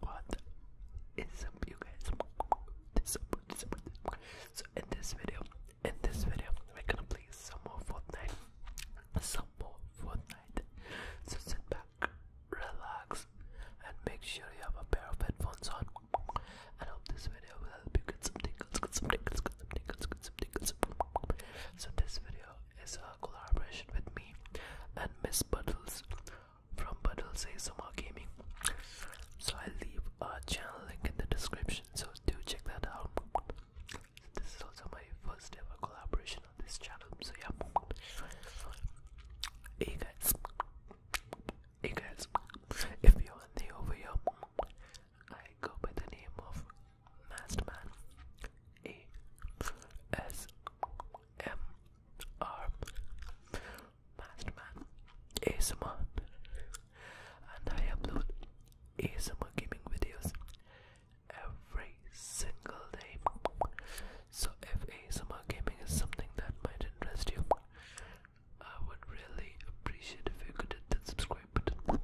What is up, you guys? So in this video, in this video, we're gonna play some more Fortnite, some more Fortnite. So sit back, relax, and make sure you have a pair of headphones on. And hope this video will help you get some tingles, get some tingles, So this video is a collaboration with me and Miss Buttles from Badal Sesama Gaming. So I'll leave a channel link in the description, so do check that out. This is also my first ever collaboration on this channel, so yeah. Hey guys, hey guys, if you are new over here, I go by the name of Masterman A S MR Masterman ASMR and I upload ASMR gaming videos every single day. So if ASMR gaming is something that might interest you, I would really appreciate if you could hit that subscribe button.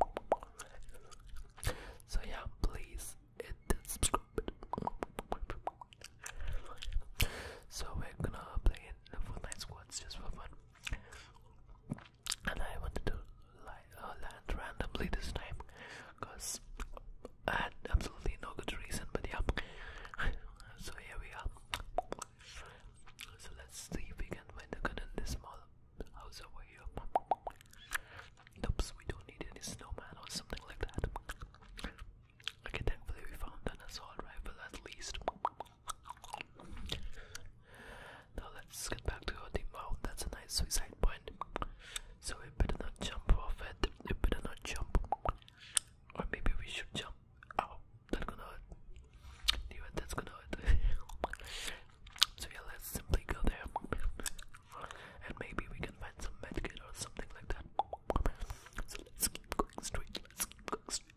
So yeah, please hit that subscribe So we're gonna play it the Fortnite squads just for fun. And I wanted to uh, land randomly this time, cause I had absolutely no good reason. But yeah, so here we are. So let's see if we can find the gun in this small house over here. Oops, we don't need any snowman or something like that. Okay, thankfully we found an assault rifle at least. Now let's get back to our team. that's a nice suicide point. So we better not jump off it. We better not jump. Or maybe we should jump. Oh, that's gonna hurt. that's gonna so yeah, let's simply go there and maybe we can find some medkit or something like that. So let's keep going straight. Let's keep going straight.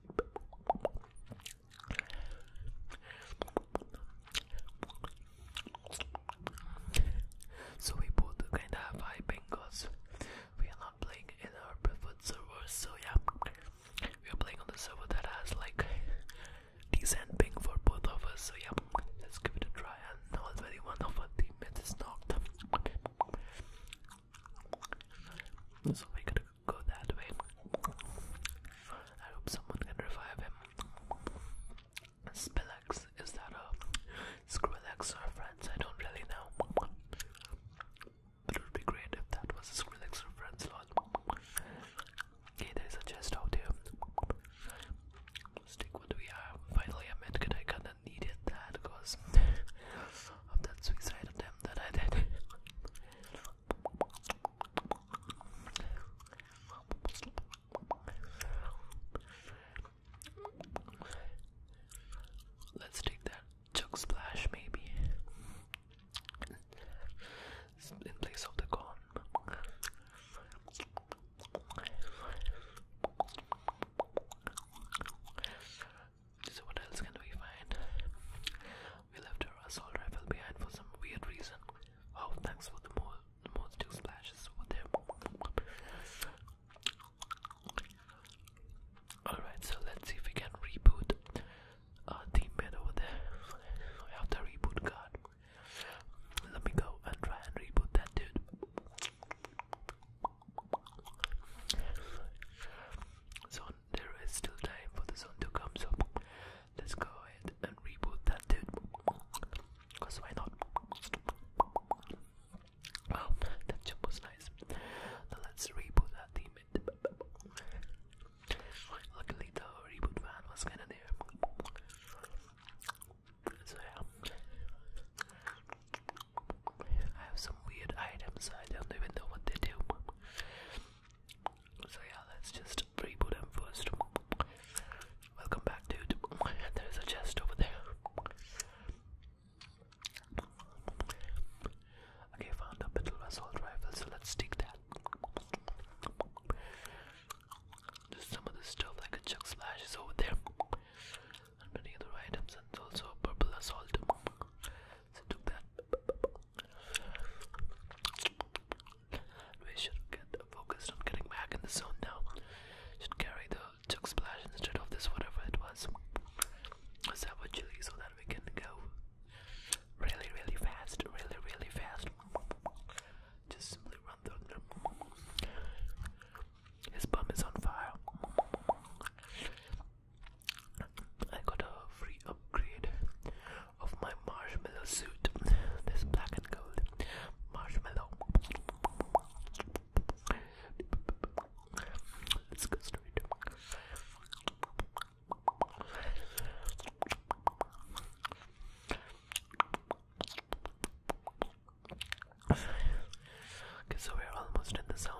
So we both kind of have high because we are not playing in our preferred servers. So yeah, we are playing on the server that has like decent ping for both of us. So yeah, let's give it a try and already one of our teammates is knocked. So we could go that way. I hope someone can revive him. Spillex, is that a Skrillex or friends? I don't really know. it would be great if that was a or friends Okay, there's a chest out here. Let's take what we have. Finally, I meant that I kinda needed that of that suicide attempt that I did. Let's take that chug splash, maybe, in place of the corn. So what else can we find? We left our assault rifle behind for some weird reason. Oh, thanks for the more the two splashes over there. Alright, so let's see if we can reboot uh, teammate over there. We have the reboot card. Let me go and try and reboot that dude. So there is still time for the sun to come, so let's go ahead and reboot that dude. Cause why not? Wow, that jump was nice. Now let's reboot that team. Luckily the reboot van was kinda there. So yeah. I have some weird items, I don't even know what they do. So yeah, let's just reboot them first. Welcome back dude. There's a chest over there. Okay, found a metal assault rifle, so let's take that. Just some of the stuff like a chuck slash is over there. And many other items and also a purple assault. So took that. We should get focused on getting back in the zone now. Should carry the chuck splash instead of this whatever it was. a chili so that we can go really really fast, really really fast. Just simply run through them. His bum is on fire. I got a free upgrade of my marshmallow suit. This black and gold marshmallow. Let's go straight. Okay, so we're almost in the zone.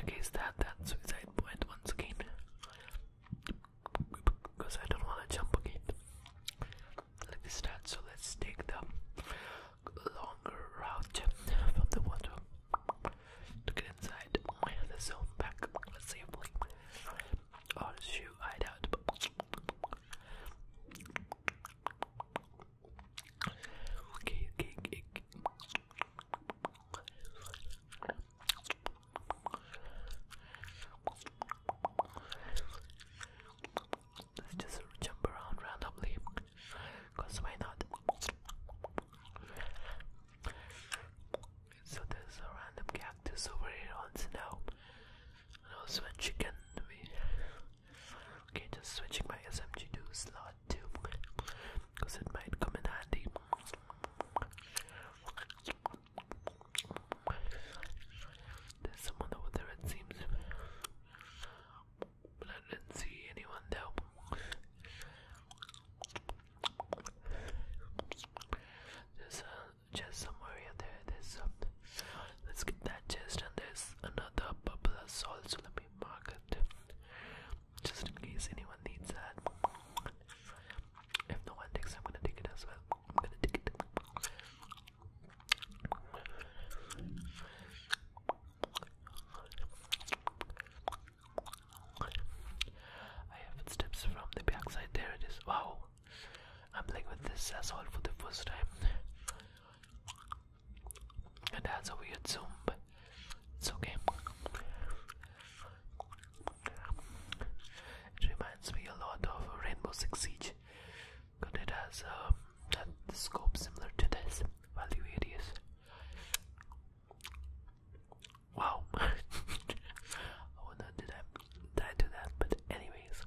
Okay, is that suicide point once again? Because I don't want to jump again. Like this start, so let's take the longer route from the water to get inside the zone back safely. Oh shoot, I doubt. Okay, okay, okay. Let's just jump around randomly, cause why not? So there's a random cactus over here on now. And also chicken. okay, just switching my SMG to slot 2 because it might come in handy. There's someone over there, it seems. But I didn't see anyone though. There's a chest somewhere yeah, there. There's something. Let's get that chest, and there's another bubble salt. So let just in case anyone needs that. If no one takes, it, I'm gonna take it as well. I'm gonna take it. I have steps from the backside. There it is. Wow. I'm playing with this asshole for the first time. It has a weird zoom, it's okay. It reminds me a lot of Rainbow Six Siege, but it has um, a scope similar to this value areas. Wow. I would not do that. I do that, but anyways,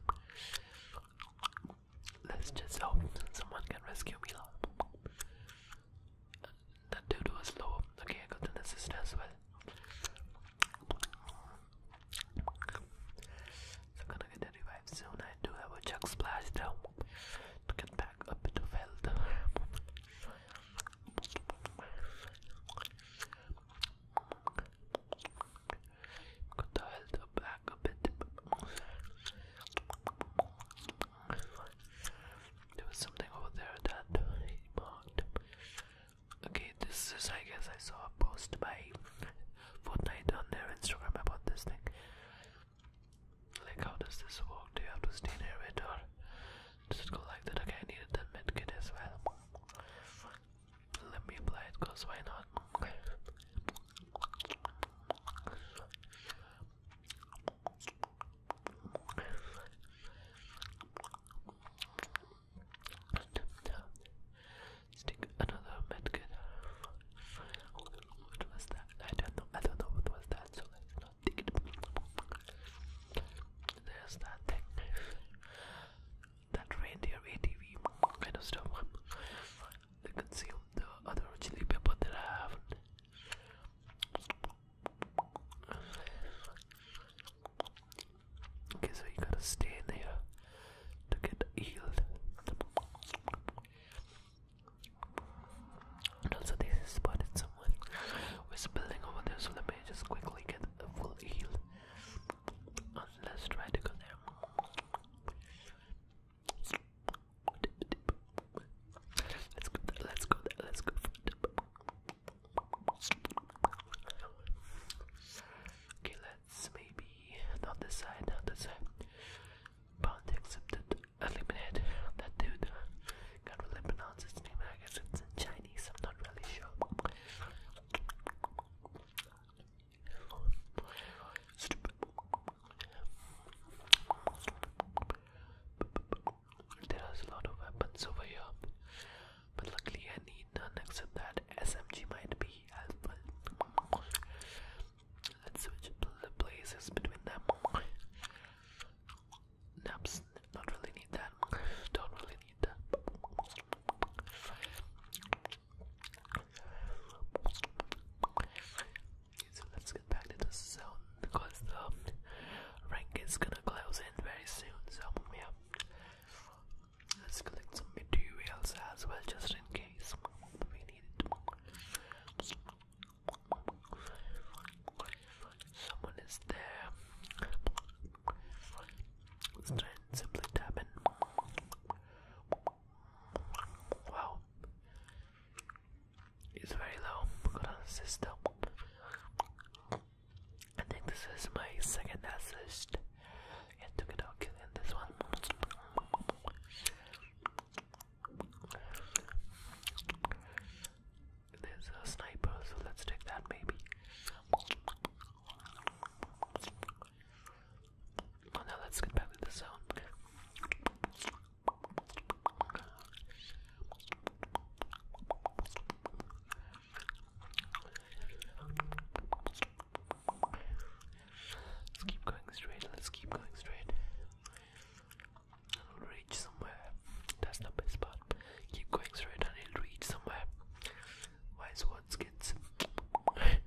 let's just hope someone can rescue me. That dude was low. Okay, I got an assist as well. gonna get a soon. I do have a chuck splash though to get back a bit of health. Got the health back a bit. There was something over there that he marked. Okay, this is, I guess, I saw a post by Fortnite on their Instagram about this thing. Like, how does this work? Do you have to stay near it or does go like that? Okay, I needed that med kit as well. Let me apply it, cause why not? Okay. Stick another medkit. What was that? I don't know. I don't know what was that. So let there's that thing. That reindeer ATV kind of stuff. They consume the other chili pepper that I have. Okay, so you gotta stay in here to get healed also they spotted someone who is building over there, so let me just quickly get a full heal. Uh, let's try to go there. Let's go let's go let's go Okay, let's maybe not this side, not this side. Bound accepted eliminate that dude. Can't really pronounce his name. I guess it's in Chinese. I'm not really sure. Stupid. There is a lot of weapons over here, but luckily I need none except that SMG might be helpful. Let's switch the places between them naps. Not really need that. Don't really need that. so let's get back to the zone because the rank is gonna close in very soon. So let's collect some materials as well, just in case we need it. Someone is there. let simply tap Wow. It's very low. Good on system. I think this is my second assist. I took it out killing this one. There's a sniper, so let's take that maybe. Oh, now let's get back to the zone. Let's keep going straight. Let's keep going straight. It'll reach somewhere. That's the best part. Keep going straight and it'll reach somewhere. Wise words, kids. okay,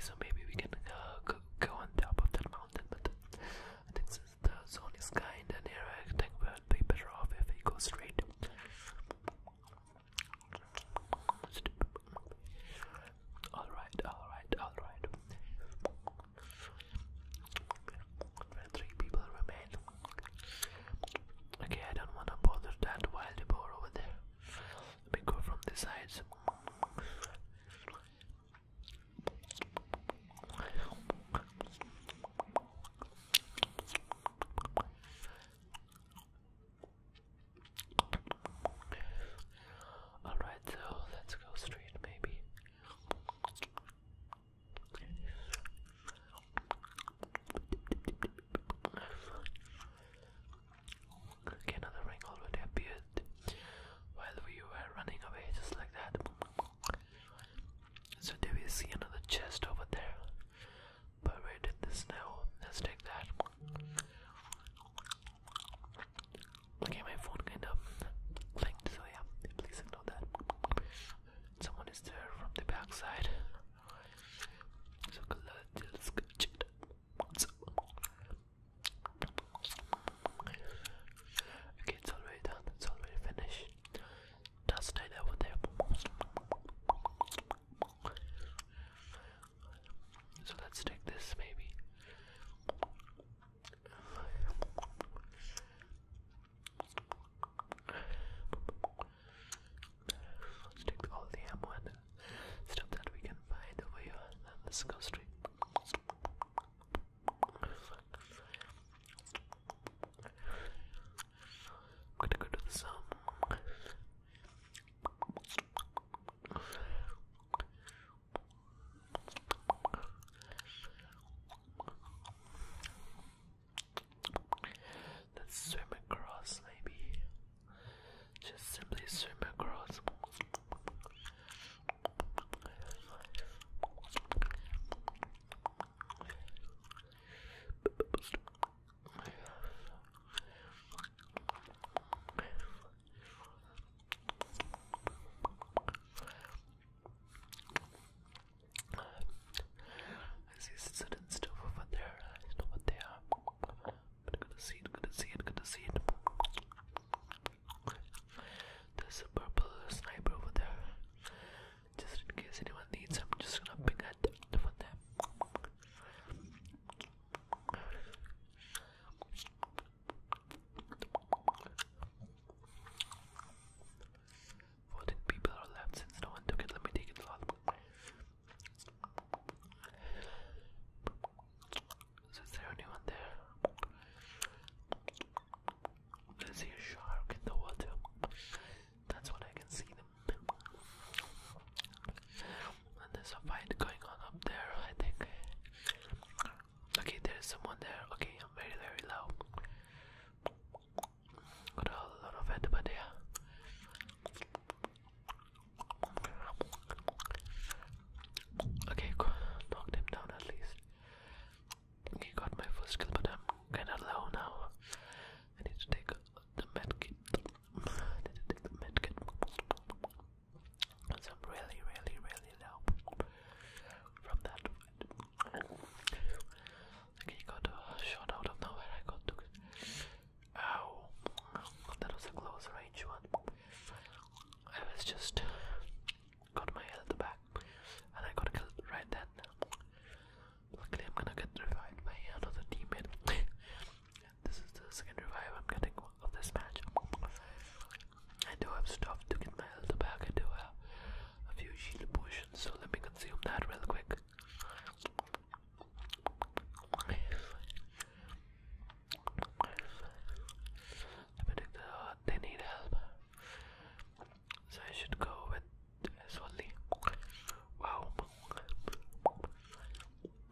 so maybe we can uh, go on top of that mountain, but I think since the zone is kind and here, I think we'll be better off if we go straight. Alright, alright, alright. Three people remain. Okay, I don't wanna bother that wild boar over there. Let me go from the sides. Alright, so let's go straight, maybe. another ring already appeared while we were running away, just like that. So, do we see another chest over there? Buried in the snow. Let's take that. Okay, my phone kind of blinked, so yeah, please ignore that. Someone is there from the backside. So let's go check it Okay, it's already done, it's already finished. Dust it over there. So let's take this maybe. take all the ammo and stuff that we can find over here and then let's I'm gonna go to the zone. Let's swim across, maybe. Just simply swim across. I see certain stuff over there. I know what they are. But good to see it, good to see it, good to see it. There's a purple sniper over there. Just in case anyone needs, I'm just gonna pick at them for them. Fourteen people are left since no one took it. Let me take it there anyone there? a shark in the water. That's when I can see them. And there's a fight going on up there, I think. Okay, there's someone there. Okay, I'm very, very low. Got a lot of it, Okay, knocked him down at least. Okay, got my first kill, but I'm kinda low now. I need to take the medkit. the medkit. So really, really, really low from that. Okay, got shot out of nowhere. I got Ow! That was a close range one. I was just got my health back, and I got killed right then. Luckily, I'm gonna get revived by another teammate. This is the second revive I'm getting of this match. I do have stuff to get my health back. I do have a few shield potions, so let me consume that real quick. Uh, they need help, so I should go with this Wow,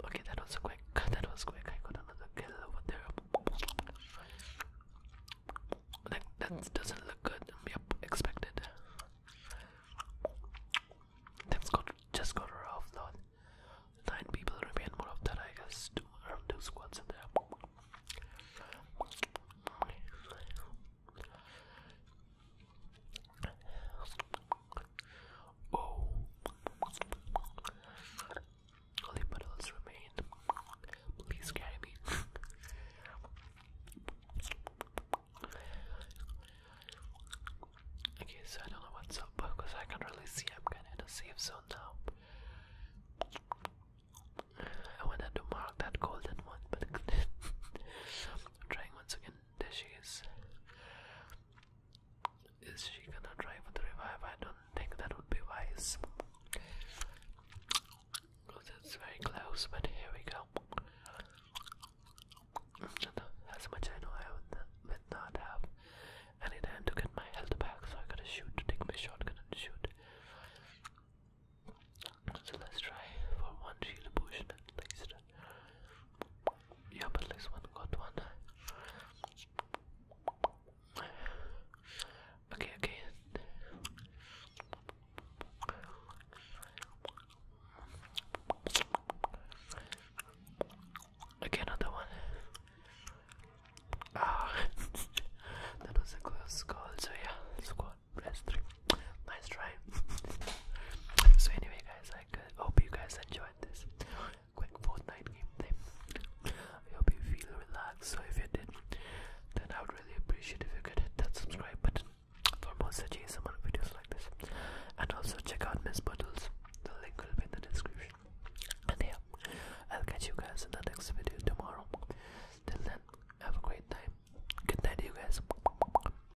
Okay, that was quick. That was quick. I got another kill over there. That, doesn't look good. Yep, expected. just got her off though. Nine people remain more of that I Two two squads in there. Oh, only puddles remain. Please carry me. okay, so I don't know what's up because I can't really see. I'm kind of in a safe zone now. I wanted to mark that golden one, but trying once again. There she is. Is she gonna try for the revive? I don't think that would be wise. Because it's very close, but here we go. As much I know, I would not have any time to get my health back, so I gotta shoot, take my shotgun and shoot. So let's try for one shield potion at least. Yeah, but at least one got one. Okay, okay. Okay, another one. Ah, that was a close call. So yeah, squad press three. Nice try. so anyway, I hope you guys enjoyed this quick Fortnite gameplay. I hope you feel relaxed. So if you did, then I would really appreciate if you could hit that subscribe button for more such ASMR videos like this. And also check out Miss Buttles. The link will be in the description. And yeah, I'll catch you guys in the next video tomorrow. Till then, have a great time. Good night, you guys.